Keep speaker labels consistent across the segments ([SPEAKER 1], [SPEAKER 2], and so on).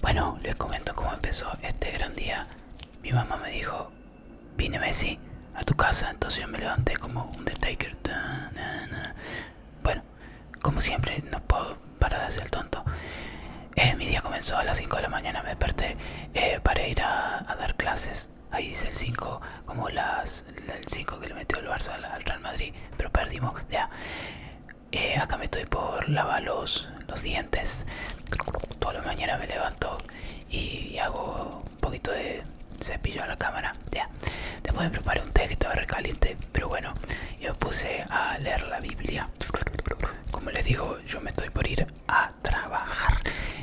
[SPEAKER 1] Bueno, les comento cómo empezó este gran día. Mi mamá me dijo, vine Messi a tu casa, entonces yo me levanté como un detaker. Bueno, como siempre, no puedo parar de hacer tonto. Eh, mi día comenzó a las 5 de la mañana, me desperté eh, para ir a, dar clases. Ahí dice el 5, como las, el 5 que le metió el Barça al Real Madrid, pero perdimos. Ya. Eh, acá me estoy por lavar los, dientes. Toda la mañana me levanto y hago un poquito de cepillo a la cámara. Ya. Después me preparé un té que estaba recaliente, pero bueno, yo me puse a leer la Biblia. Como les digo, yo me estoy por ir a trabajar.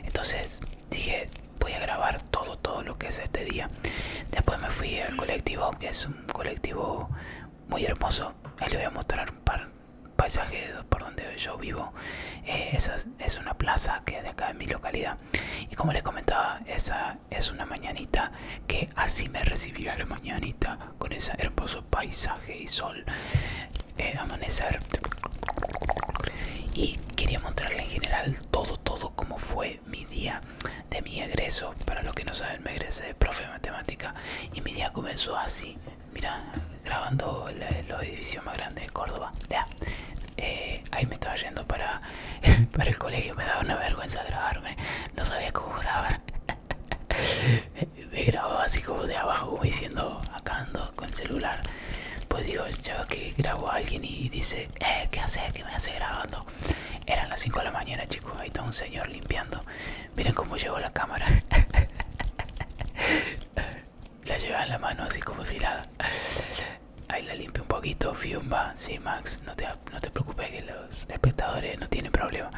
[SPEAKER 1] Entonces dije, voy a grabar todo, todo lo que es este día. Después me fui al colectivo, que es un colectivo muy hermoso. les voy a mostrar un par paisajes por donde yo vivo. Eh, esa es una plaza que es de acá en mi localidad. Y como les comentaba, esa es una mañanita que así me recibió a la mañanita con ese hermoso paisaje y sol eh, amanecer. Y quería mostrarle en general todo, todo cómo fue mi día de mi egreso. Para los que no saben, me egresé de profe de matemática y mi día comenzó así. Mirá, grabando los edificios más grandes de Córdoba. Eh, ahí me estaba yendo para, para el colegio. Me daba una vergüenza grabarme. No sabía cómo grabar. me, grababa así como de abajo, como diciendo, acá con el celular. Pues digo, el chavo que grabó a alguien y dice, eh, ¿qué haces? ¿Qué me hace grabando? Eran las 5 de la mañana, chicos. Ahí está un señor limpiando. Miren cómo llegó la cámara. la lleva en la mano así como si la... Ahí la limpia un poquito, fiumba. Sí, Max, no te, preocupes que los espectadores no tienen problema.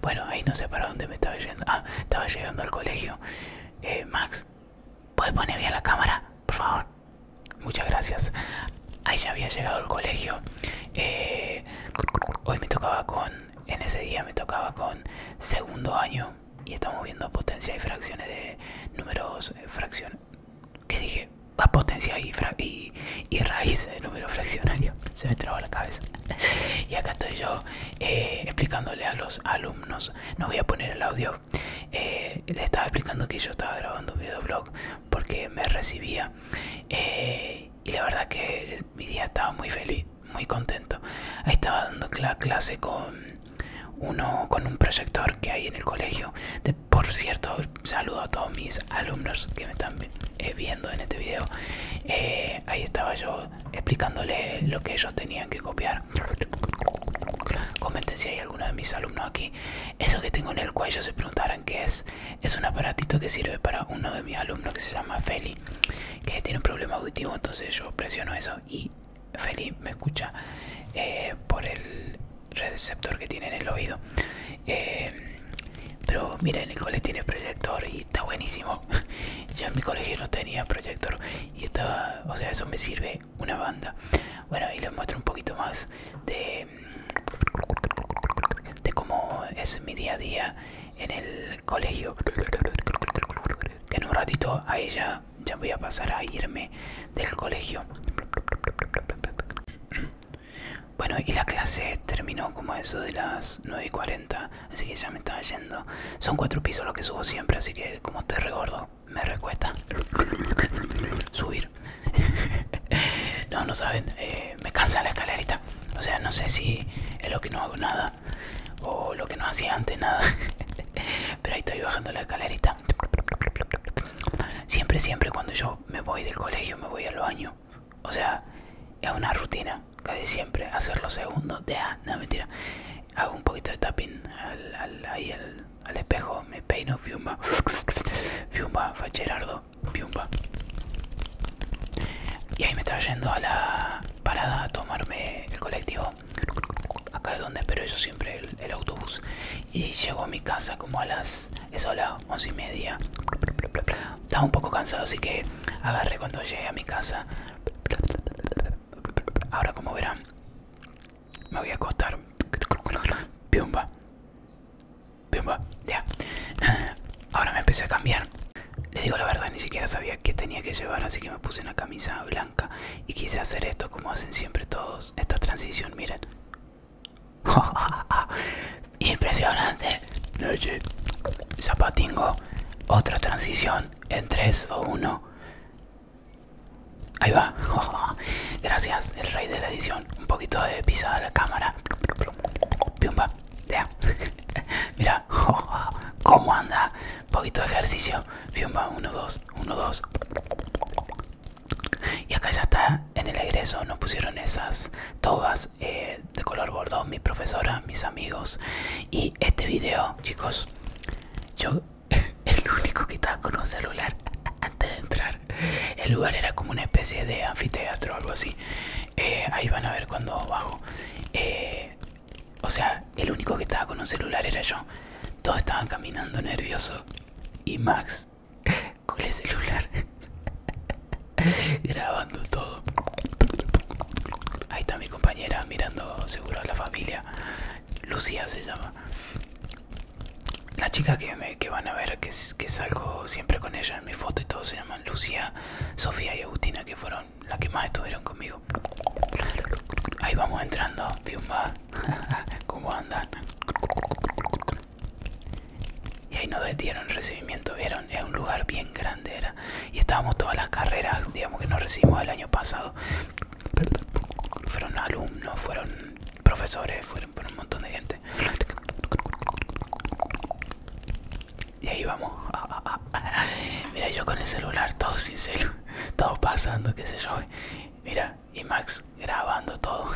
[SPEAKER 1] Bueno, ahí no sé para dónde me estaba yendo. Ah, estaba llegando al colegio. Eh, Max, ¿puedes poner bien la cámara? Por favor muchas gracias. Ahí ya había llegado al colegio. Eh, hoy me tocaba con, en ese día me tocaba con segundo año y estamos viendo potencia y fracciones de números, fracción eh, fracciones. ¿Qué dije? Va potencia y, y, raíz de eh, números fraccionarios, Se me trabó la cabeza. Y acá estoy yo explicándole a los alumnos. No voy a poner el audio. le estaba explicando que yo estaba grabando un videoblog porque me recibía eh, y la verdad que mi día estaba muy feliz, muy contento. Ahí estaba dando la clase con uno con un proyector que hay en el colegio. por cierto, saludo a todos mis alumnos que me están eh, viendo en este video. Eh, ahí estaba yo explicándoles lo que ellos tenían que copiar. Comenten si hay alguno de mis alumnos aquí. Eso que tengo en el cuello, se preguntarán qué es. Es un aparatito que sirve para uno de mis alumnos que se llama Feli, que tiene un problema auditivo, entonces yo presiono eso y Feli me escucha eh, por el receptor que tiene en el oído. Eh, pero pero miren, el cole tiene proyector y está buenísimo. Yo en mi colegio no tenía proyector y estaba, o sea, eso me sirve una banda. Bueno, y les muestro un poquito más de, de cómo es mi día a día en el colegio. Que en un ratito ahí ya, ya voy a pasar a irme del colegio. Bueno, y la clase terminó como eso de las 9 y 40, así que ya me estaba yendo. Son cuatro pisos los que subo siempre, así que como te recuerdo me recuesta subir. no, no saben, eh, me cansa la escalerita. O sea, no sé si es lo que no hago nada o lo que no hacía antes nada. Pero ahí estoy bajando la escalerita. Siempre, siempre cuando yo me voy del colegio, me voy al baño. O sea, es una rutina, casi siempre, hacer los segundos de... Ah, no, mentira. Hago un poquito de tapping ahí al, al espejo, me peino, fiumba, fiumba, facherardo, fiumba. Y ahí me estaba yendo a la parada a tomarme el colectivo. Acá es donde espero yo siempre el, autobús. Y llego a mi casa como a las, eso las once y media. Estaba un poco cansado, así que agarré cuando llegué a mi casa. Ahora como verán, me voy a acostar. Piumba. Ya. Ahora me empecé a cambiar. Le digo la verdad, ni siquiera sabía qué tenía que llevar, así que me puse una camisa blanca y quise hacer esto como hacen siempre todos. Esta transición, miren. Impresionante. Zapatingo. Otra transición en 3, o 1. Ahí va. Gracias, el rey de la edición. Un poquito de pisada a la cámara. Piumba. Mira. ¿Cómo anda? Un poquito de ejercicio. Piumba. Uno, dos. Uno, dos. Y acá ya está. En el egreso nos pusieron esas togas eh, de color bordón. Mi profesora, mis amigos. Y este video, chicos. Yo el único que estaba con un celular antes de entrar. El lugar era como una especie de anfiteatro o algo así. Eh, ahí van a ver cuando bajo. Eh, o sea, el único que estaba con un celular era yo. Todos estaban caminando nerviosos. Y Max, con el celular, grabando todo. Ahí está mi compañera mirando seguro a la familia. Lucía se llama. La chica que, me, que van a ver, que, que salgo siempre con ella en mi foto y todos se llaman Lucía, Sofía y Agustina, que fueron las que más estuvieron conmigo. Ahí vamos entrando, Piumba. ¿Cómo andan? Y ahí nos dieron recibimiento, vieron, es un lugar bien grande era. Y estábamos todas las carreras, digamos que nos recibimos el año pasado fueron alumnos, fueron profesores, fueron, un montón de gente. Y ahí vamos. Ah, ah, ah. Mira, yo con el celular, todo sincero, todo pasando, qué sé yo. Mira, y Max grabando todo.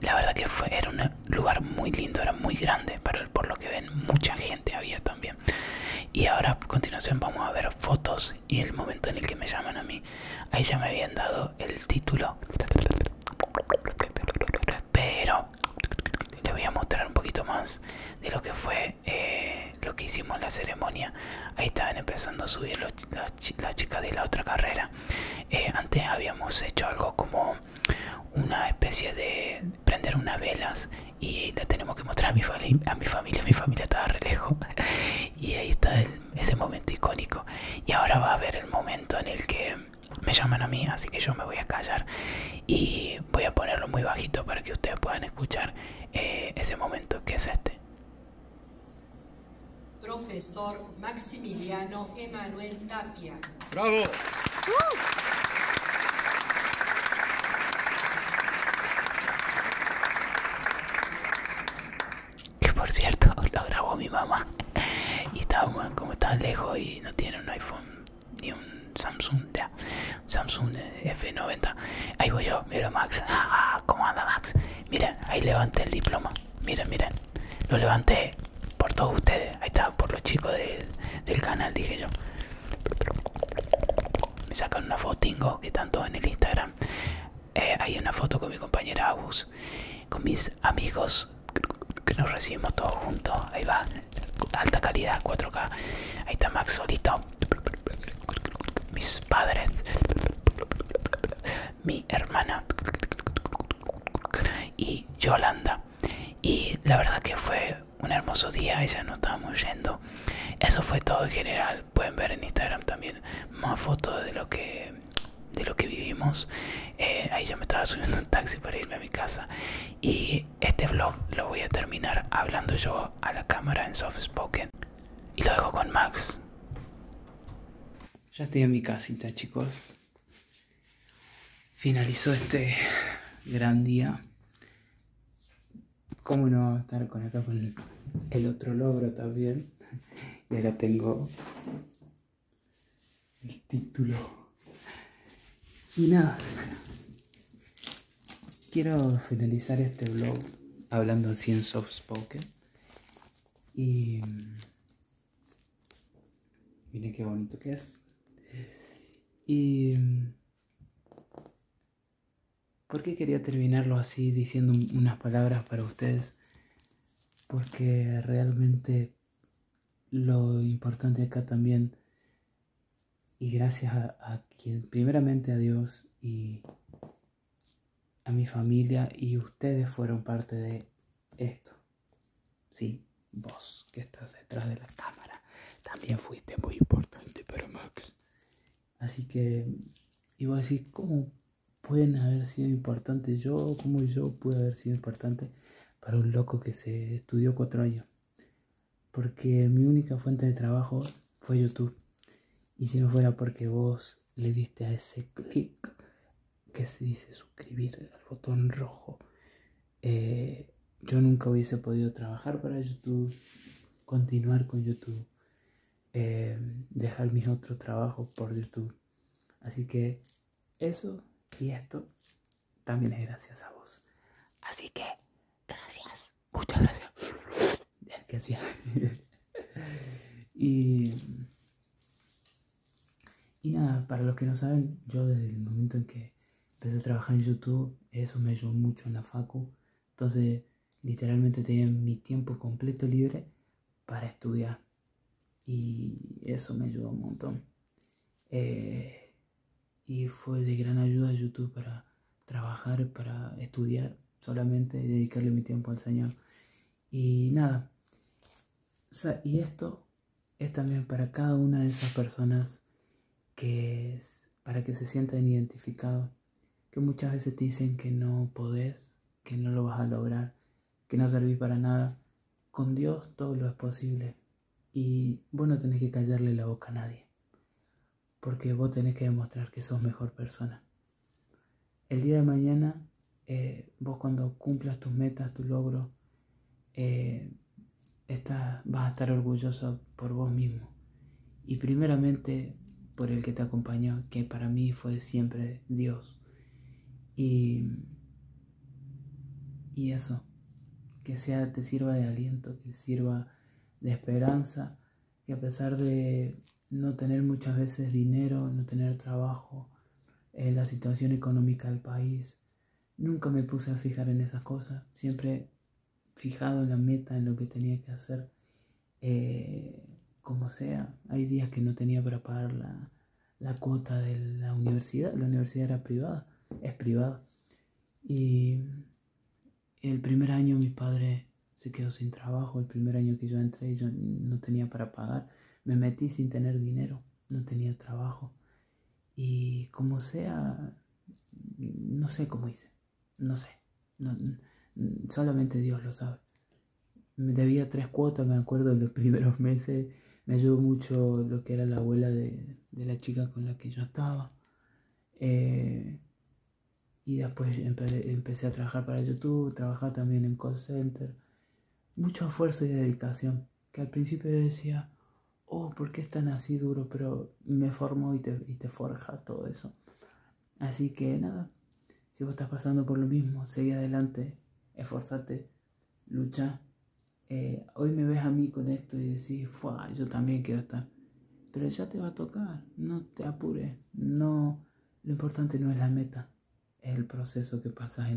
[SPEAKER 1] La verdad que fue, era un lugar muy lindo, era muy grande, pero por lo que ven, mucha gente había también. Y ahora a continuación vamos a ver fotos y el momento en el que me llaman a mí. Ahí ya me habían dado el título. Pero le voy a mostrar un poquito más de lo que fue eh, lo que hicimos en la ceremonia. Ahí estaban empezando a subir las, chicas de la otra carrera. Eh, antes habíamos hecho algo como una especie de prender unas velas y la tenemos que mostrar a mi, a mi familia, mi familia estaba re lejos y ahí está ese momento icónico y ahora va a haber el momento en el que me llaman a mí, así que yo me voy a callar y voy a ponerlo muy bajito para que ustedes puedan escuchar eh, ese momento que es este. Profesor Maximiliano Emanuel Tapia. ¡Bravo! ¡Uh! Que por cierto, lo grabó mi mamá. Y estaba, como tan lejos y no tiene un iPhone ni un Samsung, Samsung F90. Ahí voy yo, mira Max. Ah, ah, ¿Cómo anda Max? Mira, ahí levanté el diploma. Miren, miren. Lo levanté por todos ustedes. Ahí está, por los chicos del canal, dije yo. Me sacan una fotingo que tanto en el Instagram. Eh, hay una foto con mi compañera Agus, con mis amigos que nos recibimos todos juntos. Ahí va, alta calidad, 4K. Ahí está Max solito. Mis padres, mi hermana y Yolanda. Y la verdad que fue un hermoso día ella ya nos estábamos yendo. Eso fue todo en general. Pueden ver en Instagram también más fotos de lo que de lo que vivimos. Eh, ahí ya me estaba subiendo un taxi para irme a mi casa. Y este vlog lo voy a terminar hablando yo a la cámara en soft spoken. Y lo dejo con Max. Ya estoy en mi casita, chicos. Finalizó este gran día. ¿Cómo no estar con acá con el otro logro también? Y ahora tengo el título. Y nada, quiero finalizar este vlog hablando así en soft spoken. Y mm, miren qué bonito que es. Y... porque qué quería terminarlo así diciendo unas palabras para ustedes? Porque realmente lo importante acá también, y gracias a, a quien, primeramente a Dios y a mi familia y ustedes fueron parte de esto. Sí, vos que estás detrás de la cámara también fuiste muy importante pero Max. Así que iba a decir, ¿cómo pueden haber sido importantes yo? ¿Cómo yo pude haber sido importante para un loco que se estudió cuatro años? Porque mi única fuente de trabajo fue YouTube. Y si no fuera porque vos le diste a ese clic que se dice suscribir al botón rojo eh, yo nunca hubiese podido trabajar para YouTube, continuar con YouTube, eh, dejar mis otros trabajos por YouTube. Así que eso y esto también es gracias a vos. Así que, gracias. Muchas gracias. gracias. y y nada, para los que no saben, yo desde el momento en que empecé a trabajar en YouTube, eso me ayudó mucho en la facu. Entonces, literalmente tenía mi tiempo completo libre para estudiar. Y eso me ayudó un montón. Eh, y fue de gran ayuda YouTube para trabajar, para estudiar solamente dedicarle mi tiempo al Señor. Y nada, y esto es también para cada una de esas personas que es para que se sientan identificados, que muchas veces te dicen que no podés, que no lo vas a lograr, que no servís para nada. Con Dios todo lo es posible y vos no tenés que callarle la boca a nadie, porque vos tenés que demostrar que sos mejor persona. El día de mañana, eh, vos cuando cumplas tus metas, tu logro eh, vas a estar orgulloso por vos mismo y primeramente por el que te acompañó, que para mí fue siempre Dios. Y, y eso, que sea, te sirva de aliento, que sirva de esperanza, que a pesar de no tener muchas veces dinero, no tener trabajo, eh, la situación económica del país, Nunca me puse a fijar en esas cosas, siempre fijado en la meta, en lo que tenía que hacer, eh, como sea. Hay días que no tenía para pagar la, la cuota de la universidad, la universidad era privada, es privada. Y el primer año mi padre se quedó sin trabajo, el primer año que yo entré yo no tenía para pagar, me metí sin tener dinero no tenía trabajo. Y como sea, no sé cómo hice, no sé, mm, solamente Dios lo sabe. Me debía tres cuotas, me acuerdo, en los primeros meses. Me ayudó mucho lo que era la abuela de, de la chica con la que yo estaba. Eh, y después empecé a trabajar para YouTube, trabajar también en call center mucho esfuerzo y dedicación. Que al principio decía, oh, ¿por qué es tan así duro? Pero me formó y te, forja todo eso. Así que nada, si vos estás pasando por lo mismo, seguí adelante, esforzate, lucha. Eh, hoy me ves a mí con esto y decís, Fua, yo también quiero estar. Pero ya te va a tocar, no te apures, no, lo importante no es la meta, el proceso que pasas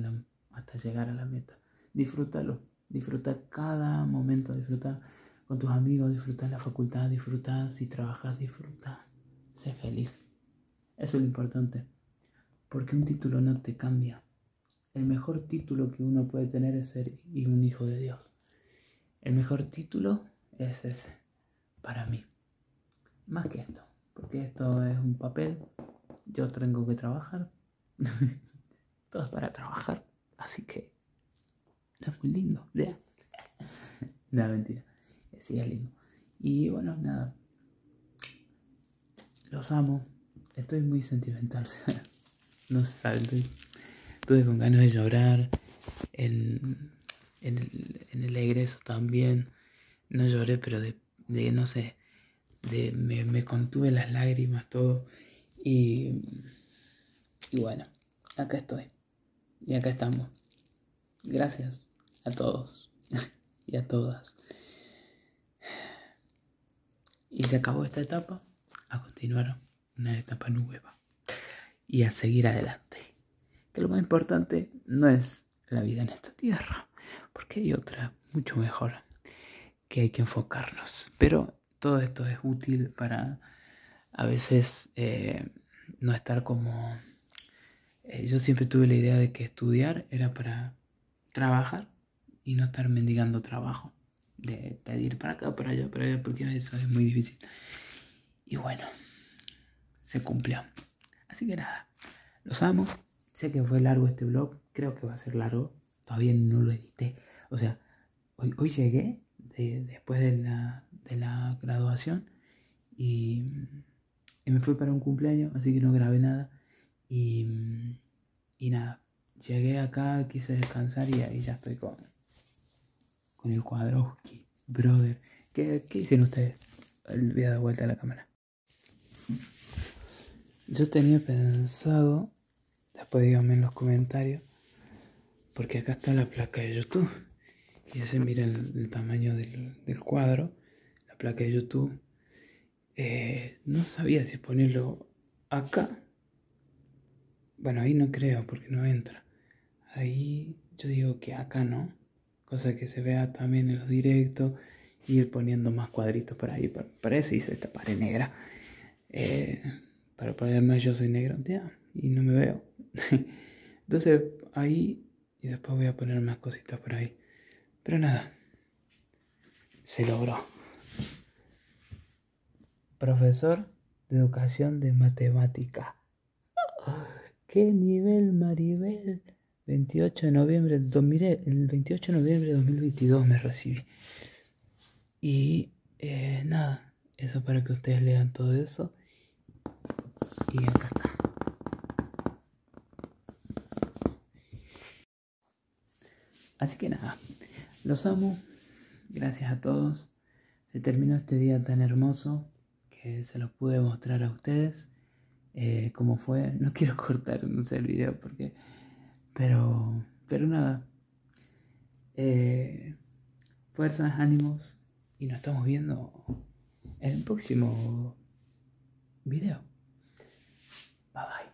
[SPEAKER 1] hasta llegar a la meta. Disfrútalo, disfruta cada momento, disfruta con tus amigos, disfruta la facultad, disfruta si trabajas, disfruta, sé feliz. Eso es lo importante, porque un título no te cambia. El mejor título que uno puede tener es ser un hijo de Dios. El mejor título es ese, para mí. Más que esto, porque esto es un papel, yo tengo que trabajar, todo es para trabajar, así que es muy lindo, no, mentira, sí es lindo. Y bueno, nada, los amo, estoy muy sentimental, no se sabe, Tuve con ganas de llorar en, el, en egreso también, no lloré, pero de de no sé, de, me, contuve las lágrimas, todo. Y, y bueno, acá estoy. Y acá estamos. Gracias a todos y a todas. Y se acabó esta etapa, a continuar una etapa nueva y a seguir adelante. Que lo más importante no es la vida en esta tierra, porque hay otra mucho mejor que hay que enfocarnos. Pero todo esto es útil para a veces eh, no estar como... Eh, yo siempre tuve la idea de que estudiar era para trabajar y no estar mendigando trabajo, de pedir para acá, para allá, para allá, porque eso es muy difícil. Y bueno, se cumplió. Así que nada, los amo. Sé que fue largo este vlog, creo que va a ser largo. Todavía no lo edité. O sea, hoy, llegué después de la, graduación y, me fui para un cumpleaños, así que no grabé nada. Y, nada, llegué acá, quise descansar y ahí ya estoy con, con el cuadro. Brother, ¿qué, dicen hicieron ustedes? Voy a dar vuelta a la cámara. Yo tenía pensado, después díganme en los comentarios, porque acá está la placa de YouTube. Y se mira el, tamaño del, cuadro, la placa de YouTube. Eh, no sabía si ponerlo acá. Bueno, ahí no creo porque no entra. Ahí yo digo que acá no cosa que se vea también en los directos, ir poniendo más cuadritos por ahí, para eso hice esta pared negra, eh, Para para ponerme yo soy negro, ya y no me veo, entonces ahí, y después voy a poner más cositas por ahí, pero nada, se logró. Profesor de educación de matemática. ¿Qué nivel, Maribel? 28 de noviembre de el 28 de noviembre de 2022 me recibí. Y eh, nada, eso para que ustedes lean todo eso. Y acá está. Así que nada, los amo. Gracias a todos. Se terminó este día tan hermoso que se lo pude mostrar a ustedes eh, Como fue. No quiero cortar, el video porque... Pero, pero nada. Eh, fuerzas, ánimos y nos estamos viendo en el próximo video. Bye bye.